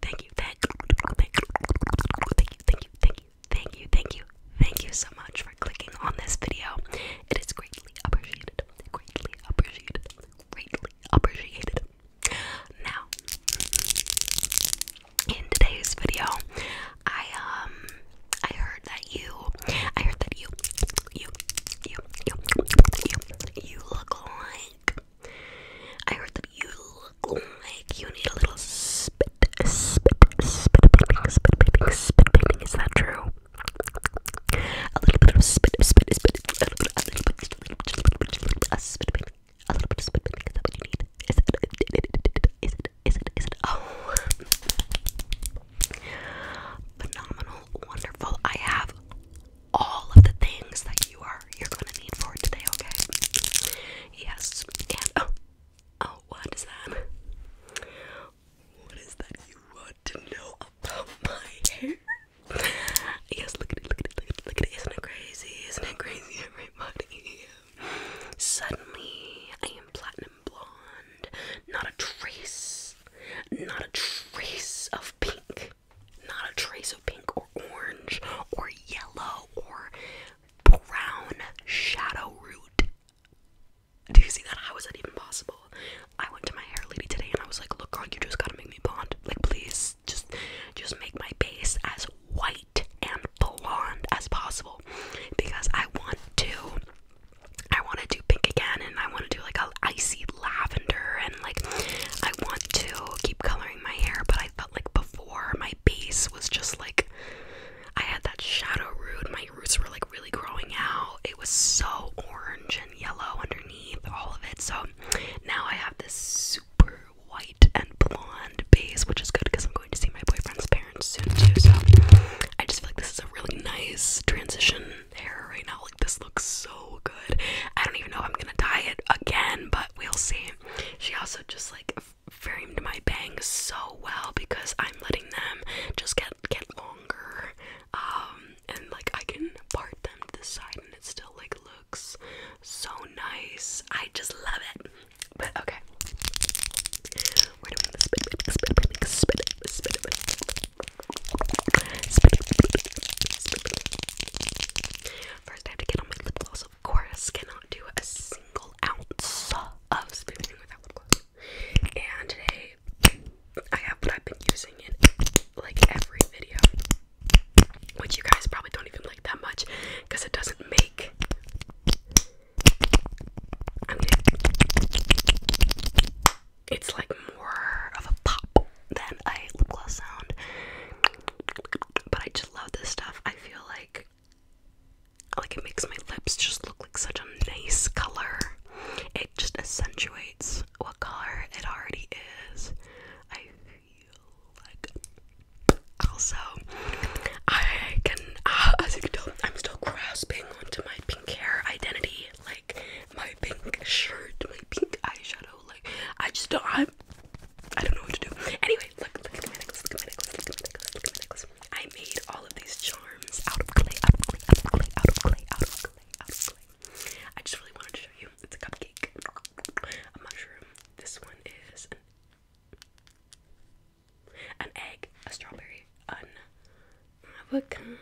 thank you, thank you, thank you, thank you, thank you, thank you, thank you, thank you, thank you so much for clicking on this video. It is greatly appreciated, greatly appreciated, greatly appreciated. Now, in today's video, I um, I heard that you, I heard that you, you, you, you, you look like I heard that you look like you need a little spit, spit, spit painting, spit painting, spit painting. Is that true? A little bit of spit, spit, spit, a little bit, a little bit, just a little bit, just a little bit, just a little bit, a spit painting, a little bit of spit painting. Is that what you need? Is it? Is it? Is it? Is it? Oh, phenomenal, wonderful. I have all of the things that you are you're gonna need for it today, okay? Yes. And oh oh what is that? What is that you want to know about my hair? yes, look at it, look at it, look at it, look at it. Isn't it crazy? Isn't it crazy, everybody? Suddenly I am platinum blonde. Not a trace. Not a trace of pink not a trace of pink or orange or yellow or brown shadow root. Do you see that? How is that even possible? I went to my hair lady today and I was like, look, girl, you just gotta make me blonde. Like, please, just, just make my base as white and blonde as possible because I want to, I want to do pink again and I want to do like a icy lavender and like I want to keep coloring my hair, but I like before. My base was just like I had that shadow root. My roots were like really growing out. It was so orange and yellow underneath, all of it. So now I have this super white and blonde base, which is good because I'm going to see my boyfriend's parents soon too. So I just feel like this is a really nice transition hair right now. Like this looks so so good. I don't even know if I'm gonna dye it again, but we'll see. She also just like framed my bangs so well because I'm letting them just get get longer. and like I can part them to the side and it still like looks so nice. I just love it. But okay. First, I have to get on my lip gloss. Of course, cannot do a single ounce of spooning without lip gloss. And today, I have what I've been using in like every video, which you guys probably don't even like that much because it doesn't make. it's like more of a pop than a lip gloss sound. But I just love this stuff. I feel like like it makes my lips just look like such a nice color. It just accentuates what color it already is. I feel like also I can uh, as you can tell I'm still grasping onto my pink hair identity, like my pink shirt, my pink eyeshadow. Like I just don't. I'm. I don't know what to do. Anyway, look, look at my necklace. Look at my necklace. Look at my necklace. Look at my necklace. I made all of these charms out of clay, out of clay, out of clay, out of clay, out of clay, out of clay. I just really wanted to show you. It's a cupcake, a mushroom. This one is an, an egg, a strawberry, an avocado,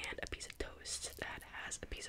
and a piece of toast that has a piece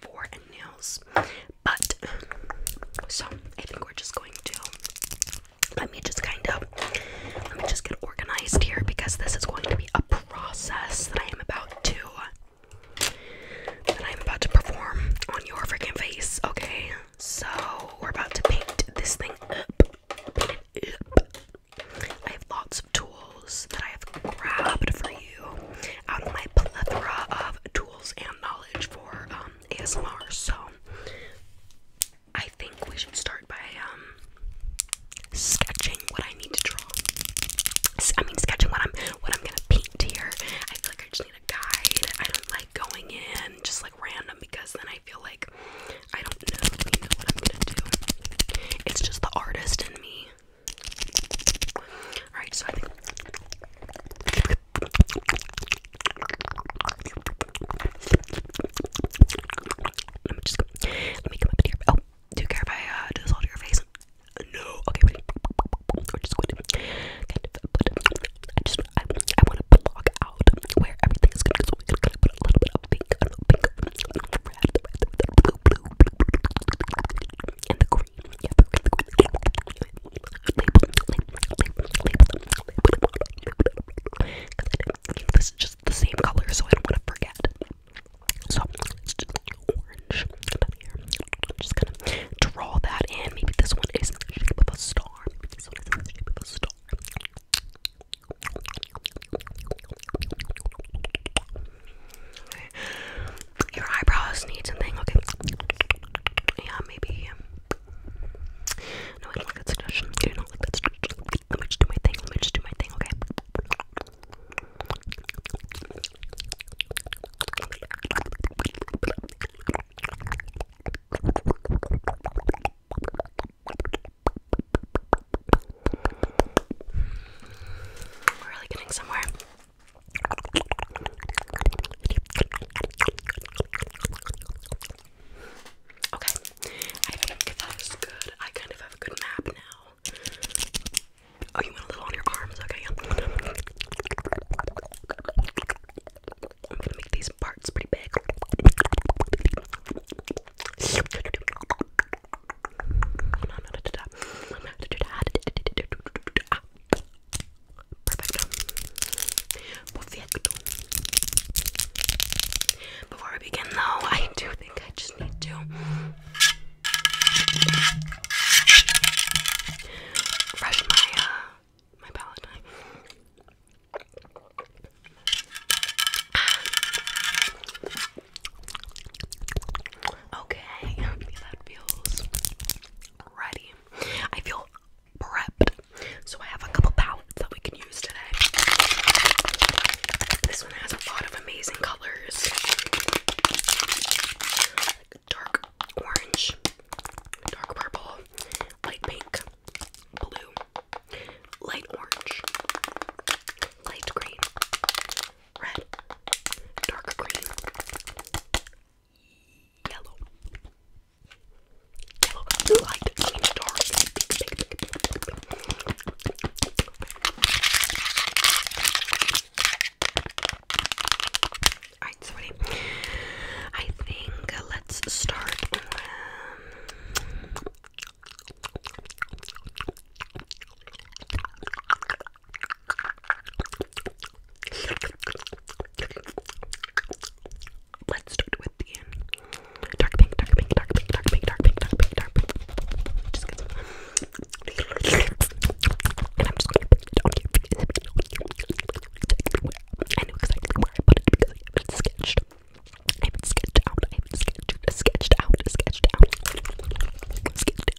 for nails. But so I think we're just going to let me just kind of let me just get organized here because this is going to be a process that I am about to that I am about to perform on your freaking face. Okay, so we're about to paint this thing up. I have lots of tools that I have grabbed for you out of my plethora of tools and knowledge for um, ASMR. So I think we should start by um, sketching what I need to draw. I mean, sketching what I'm what I'm gonna paint here. I feel like I just need a guide. I don't like going in just like random because then I feel like I don't know what I'm gonna do. It's just the artist in me Alright, so I think. Let me just Let me come up here. Oh, do you I do this all to your face? No. Okay, wait. We're just going to I just. I, I want to block out where everything is going to go. So going to put a little bit of pink, pink, red, red, blue, blue, blue, blue, blue, blue, blue, cream. Yep. This is just the same color, so I don't want to forget. So it's just orange down here. I'm just gonna draw that in. Maybe this one is the shape of a star. Maybe this one is the shape of a star. Okay. Your eyebrows need something, okay? Yeah, maybe. Um, no, I don't like that suggestion. I do not like that suggestion. Let me just do my thing. Let me just do my thing, okay? We're really getting somewhere. Okay, I think that is good. I kind of have a good map now. Oh, you went a little on your arms. Okay, I'm gonna make these parts pretty big. Perfecto. Perfecto. Before we begin, though, I do think I just need to brush my uh, my palette. Okay, that feels ready. I feel prepped. So I have a couple palettes that we can use today. This one has a lot of amazing colors. dark orange, dark purple, light pink, blue, light orange, light green, red, dark green, yellow, yellow, light, green, dark, Alright, so I think uh, let's start Let's start with the dark pink, dark pink, dark pink, dark pink, dark pink, dark pink, dark pink. Just get some. And I'm just going to put it on you. I know exactly where I put it because I have it sketched. I have it sketched out. I have it sketched, sketched out, sketched out. Sketched out.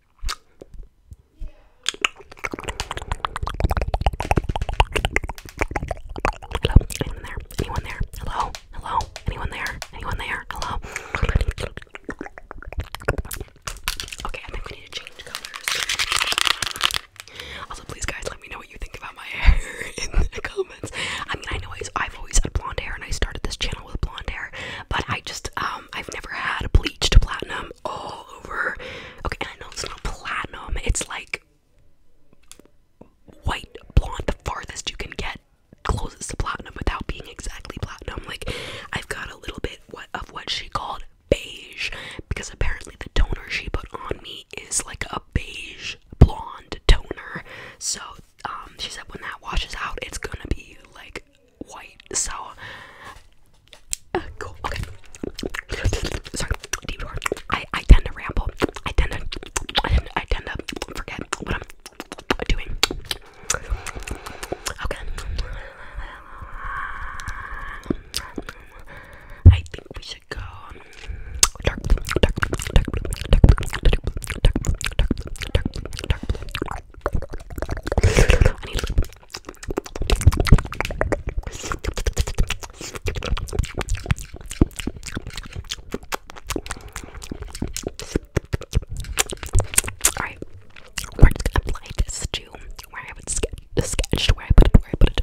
Hello, anyone there? Hello? Hello? Anyone there? Anyone there? Hello? Okay, I think we need to change colors. Also, please, guys, let me know what you think about my hair in the comments. I mean, I know I've always had blonde hair, and I started this channel with blonde hair, but I just, um, um, I've never had bleached platinum all over. Okay, and I know it's not platinum. It's like white blonde, the farthest you can get closest to platinum without being exactly platinum. Like I've got a little bit of what she called beige because apparently the toner she put on me is like a beige blonde toner. So um, she said when that washes out, it's gonna be like white, So, Okay. Sorry. Deep I I tend to ramble. I tend to I tend, to forget what I'm doing. Okay. I think we should go I need lube. Alright, we're just gonna apply this to where I would sketch, sketched, where I put it, where I put it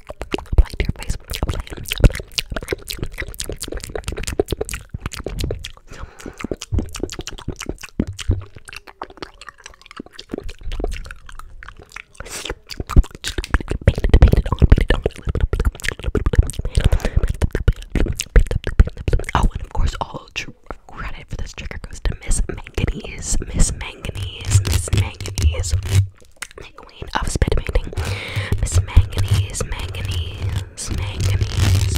apply to your face. Apply, Oh, and of course, all true credit for this trigger goes to Miss Manganese. Miss Manganese. Miss Manganese the queen of spit painting, Miss Manganese, Manganese, Manganese.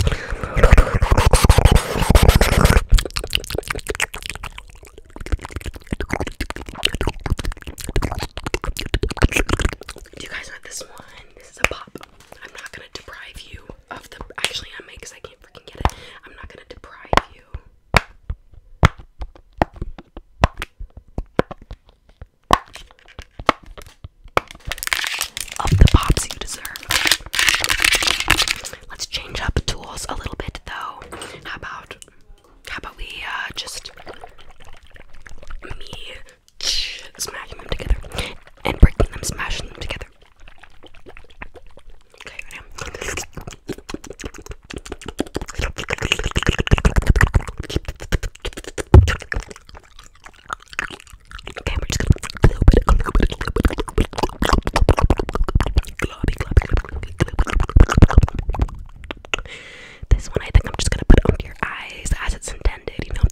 you guys want this one? This is a pop. I'm not gonna deprive you of the. Actually, I might because I can't freaking get it. I'm not gonna deprive you of the pops you deserve. Let's change up tools a little bit though. How about how about we uh just me smashing them together and breaking them, smashing them together. This one, I think I'm just gonna put it under your eyes as it's intended. You know?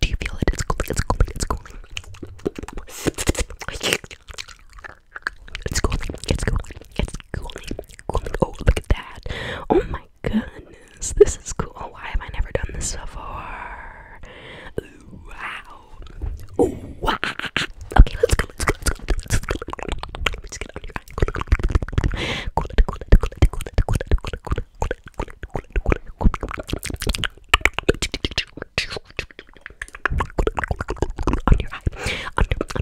Do you feel it? It's cooling. It's cooling. It's cooling. It's cooling. It's cooling. It's cooling. Cooling. Oh, look at that. Oh my goodness. This is cool. Oh, why have I never done this before? Wow. Oh, wow. Okay, let's go. Let's go. Let's go. Let's go. Let me just get out of your eye. Cool it. Cool it. Cool it. Cool it. Cool it. Cool it. Cool it. Cool it. Cool it. Cool it. Cool it. Cool it. On your eye. Under,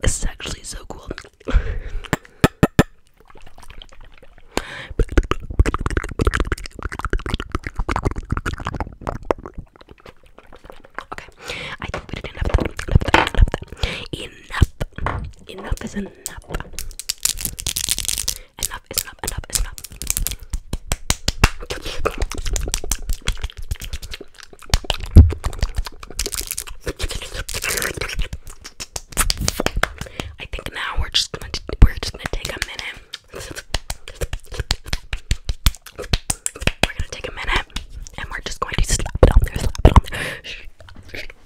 This is actually so cool. Okay, I think we did enough. Enough. Enough. enough. Enough is enough. Enough is enough. Enough is enough. I think now we're just we're just gonna take a minute. We're gonna take a minute and we're just going to slap it on there, slap it on there.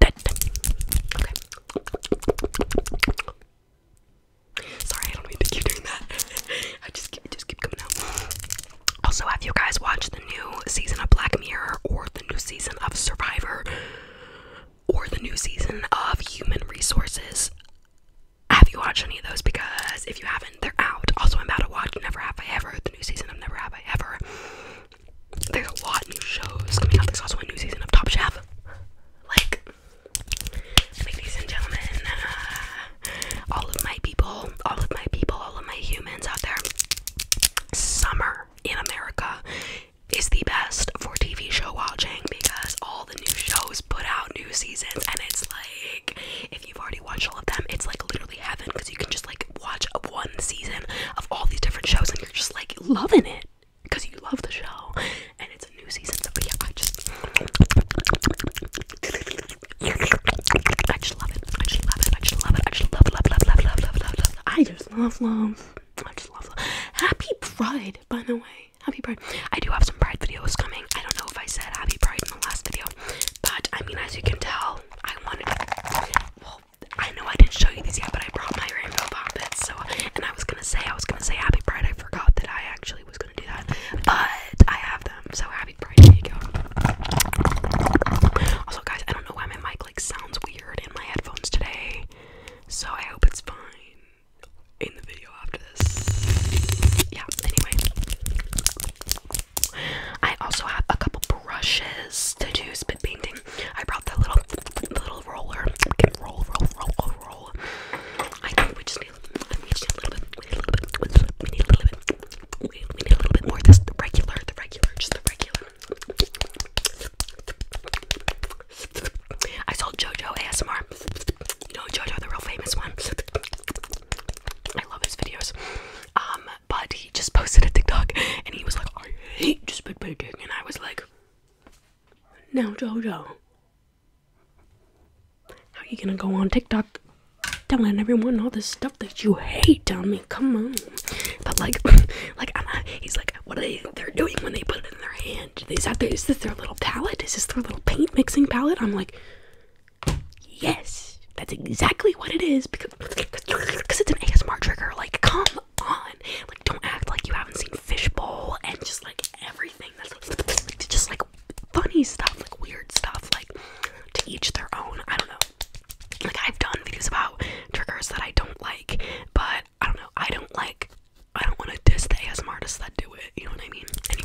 Sorry, I don't mean to keep doing that. I just keep, just keep coming out. Also, have you guys watched the new season of Black Mirror, or the new season of Survivor, or the new season of Human Resources? Have you watched any of those? Because if you haven't, they're out. Also, I'm about to watch Never Have I Ever, the new season of Never Have I Ever. There's a lot of new shows coming out. There's also a new season of Top Chef like, ladies and gentlemen, uh, all of my people, all of my people, all of my humans out there, summer in America is the best for TV show watching because all the new shows put out new seasons, and it's like if you've already watched all of them, it's like literally heaven because you can just like watch one season of all these different shows and you're just like loving it because you love the show and it's a new season so yeah I just I just love it I just love it I just love it I just love love love love love love love love I just love love I just love love Happy Pride by the way Happy Pride I do have some Pride videos coming I don't know if I said Happy Pride in the last video but I mean as you can tell I wanted to I know I didn't show you these yet, but I brought my rainbow poppets. So, and I was gonna say, I was gonna say Happy Pride. I forgot that I actually was gonna do that, but I have them. So Happy Pride, there you go. Also, guys, I don't know why my mic like sounds weird in my headphones today. So I hope it's fine in the video after this. Yeah. Anyway, I also have a couple brushes to do spit painting I brought that little little roller. roll, roll, roll, roll, roll. I know we just need, a little bit, we need a little bit, we need a little bit, we need a little bit, we need a little bit more. This the regular, the regular, just the regular. I saw JoJo ASMR. You know JoJo, the real famous one. I love his videos. Um, but he just posted a TikTok and he was like, I hate just big and I was like, now, Jojo, how are you gonna go on TikTok telling everyone all this stuff that you hate on me? Come on. But, like, like I'm, he's like, what are they they're doing when they put it in their hand? Is, that? Is this their little palette? Is this their little paint mixing palette? I'm like, yes. That's exactly what it is because, because it's an ASMR trigger. Like, come on. Like, don't act like you haven't seen Fishbowl and just like everything. That's like, just like funny stuff, like weird stuff, like to each their own. I don't know. Like, I've done videos about triggers that I don't like, but I don't know. I don't like, I don't want to diss the ASMR artists that do it. You know what I mean? Anyway.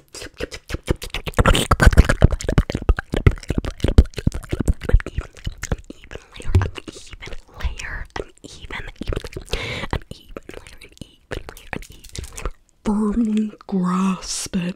layer, an even, an even layer, an even layer, an even layer. Firmly grasp it.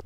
press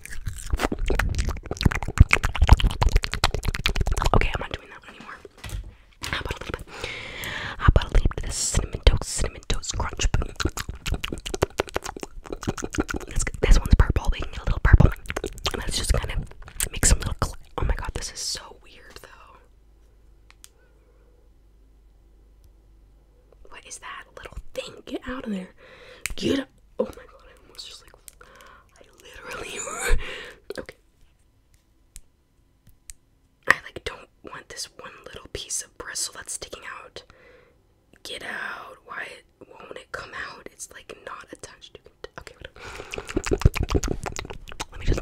Okay, I'm not doing that anymore. How about a little bit? How about a little bit of this cinnamon toast, cinnamon toast crunch? This, one's purple. We can get a little purple. Let's just kind of make some little. Oh my god, this is so weird though. What is that little thing? Get out of there. Get Oh my god, I was just like. I literally. okay. I like don't want this one little piece of bristle that's sticking out. Get out. Why won't it come out? It's like not attached. Okay, Let me just.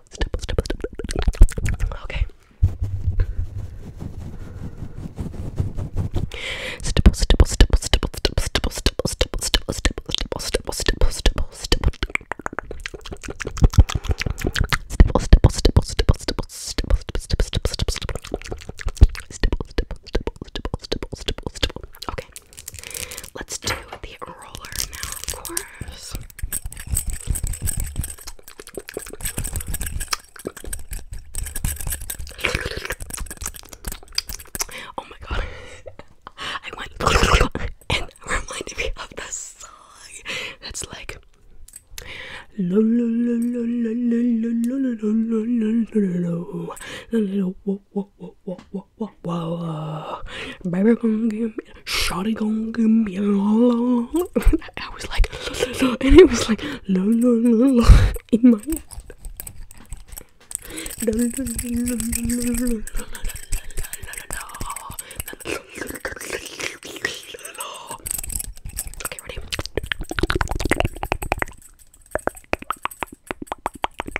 stipple, stipple, stipple. Okay. Stipple, stipple, stipple, stipple, stipple, stipple, stipple, stipple, stipple, stipple, stipple, stipple, stipple, stipple. Stipple, stipple, stipple, stipple, stipple, stipple, stipple, stipple, stipple, stipple, stipple, stipple, stipple, stipple, stipple. Okay. Let's do the roller now, of course. Oh my god. I went and reminded me of the song that's like whoa, whoa, whoa. Baby gonna give me, shawty gonna give me a long, long. I was like, and it was like, no, no, no, no, in my head. Okay, ready?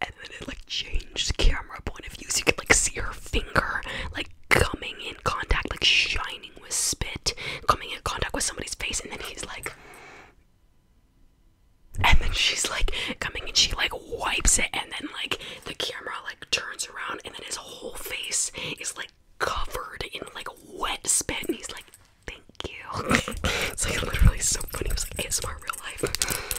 and then it like changed camera point of view so you could like see her finger like coming in contact like shining with spit coming in contact with somebody's face and then he's like and then she's like coming and she like wipes it and then like the camera like turns around and then his whole face is like covered in like wet spit and he's like thank you it's like literally so funny it was like ASMR real life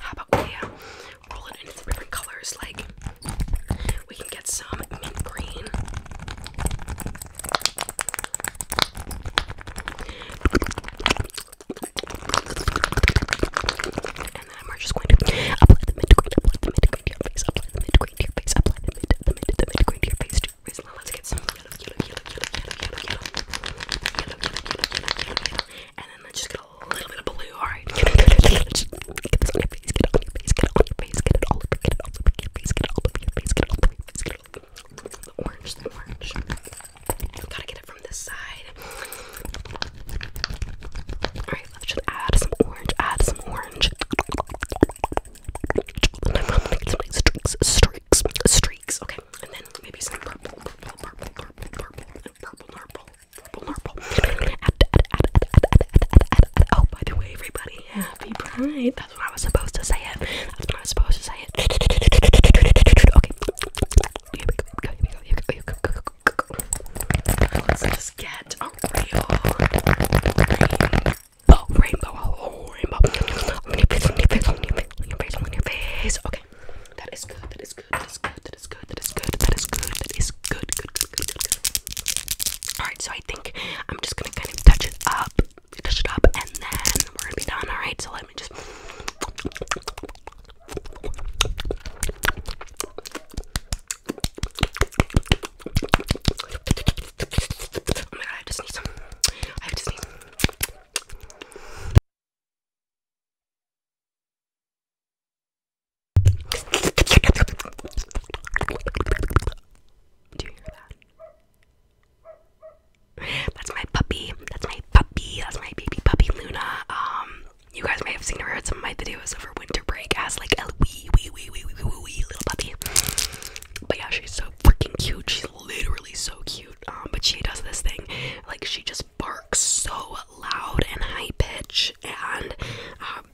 How about we uh, roll it into different colors? Like, we can get some mint green. And then we're just going to apply the mint green, apply the mint green to your face, apply the mint green to your face, apply the the mid, the mid, the mid green to your face to your wrist. Now let's get some yellow, yellow, yellow, yellow, yellow, yellow, yellow, yellow, yellow, yellow, yellow, yellow, and then let's just get a little bit of blue. All right, get this on your face, get it on your face, get it on your face, get it all over, get it all over your face, get it all over your face, get it all over get it all over. The orange, the orange. gotta get it from this side. All right, let's just add some orange, add some orange. And I'm gonna get some like streaks, streaks, streaks. Okay, and then maybe some purple, purple, purple, purple, purple, and purple, purple, purple, purple. Oh, by the way, everybody, happy pride. That's when I was supposed to say it. That's when I was supposed to say it. Okay. Here we go. Here we go. Here we go. Here we go. Let's just get a real rainbow rainbow, rainbow, oh, rainbow. On your face, on your face, on your face, on your face, on your face. Okay, that is good. That is good. That is good. That is good. That is good. That is good. That is good. Good. Good. Good. Good. good. All right. So I think I'm just gonna kind of touch it up, touch it up, and then we're gonna be done. All right. So let me just. Oh my god, I just need some. I just need Do you hear that? That's my puppy. That's my puppy. That's my baby puppy Luna. Um, you guys may have seen her at some of my videos over winter break as like a week wee wee wee wee wee wee little puppy. But yeah, she's so freaking cute. She's literally so cute. Um, but she does this thing, like she just barks so loud and high pitch, and um,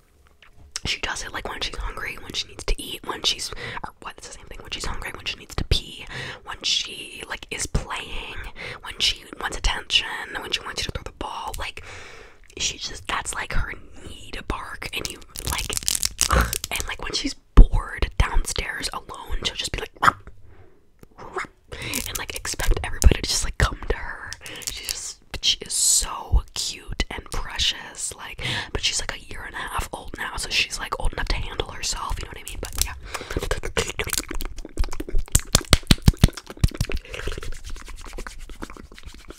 she does it like when she's hungry, when she needs to eat, when she's or what's the same thing. When she's hungry, when she needs to pee, when she like is playing, when she wants attention, when she wants you to throw the ball, like she just that's like her need to bark and you like and like when she's bored downstairs alone she'll just be like and like expect everybody to just like come to her she's just she is so cute and precious like but she's like a year and a half old now so she's like old enough to handle herself you know what i mean but yeah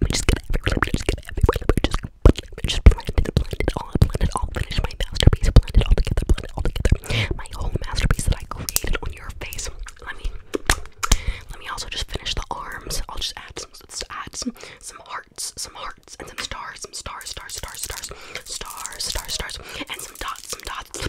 We're just gonna everywhere, we're just gonna everywhere, we're just we're just blend it, blend it all, blend it all, finish my masterpiece, blend it all together, blend it all together. My whole masterpiece that I created on your face. Let me let me also just finish the arms. I'll just add some let's add some some hearts, some hearts, and some stars, some stars, stars, stars, stars, stars, stars, stars, and some dots, some dots.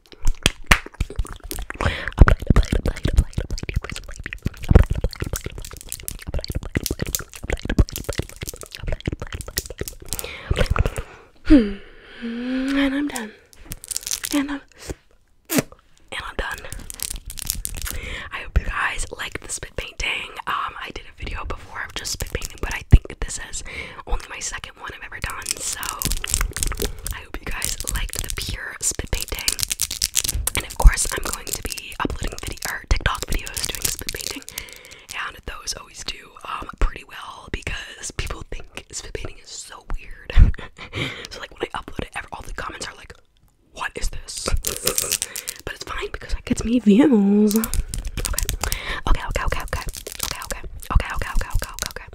Hmm, and I'm done. And I'm and I'm done. I hope you guys like the spit painting. Um, I did a video before of just spit painting, but I think this is only my second one I've ever done. So I hope you guys liked the pure spit painting. And of course, I'm going to be uploading video or TikTok videos doing spit painting, and those always do um pretty well because people think spit painting is so weird. so like when I upload it, all the comments are like, "What is this?" but it's fine because it gets me views. Okay. Okay. Okay. Okay. Okay. Okay. Okay. Okay. Okay. Okay. Okay.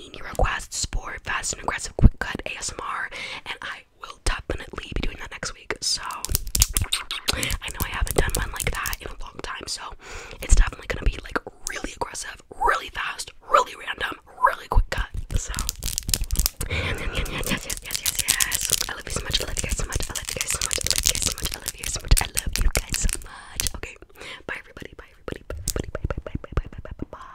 seen your requests for fast and aggressive quick cut ASMR, and I will definitely be doing that next week. So I know I haven't done one like that in a long time, so it's definitely gonna be like really aggressive, really fast, really random, really quick cut. So yes, yes, yes, yes, yes, yes. I love you so much. I love you guys so much. I love you guys so much. I love you guys so much. I love you guys so much. I love you guys so much. Okay, bye everybody. Bye everybody. Bye everybody. Bye bye bye bye bye bye bye bye bye.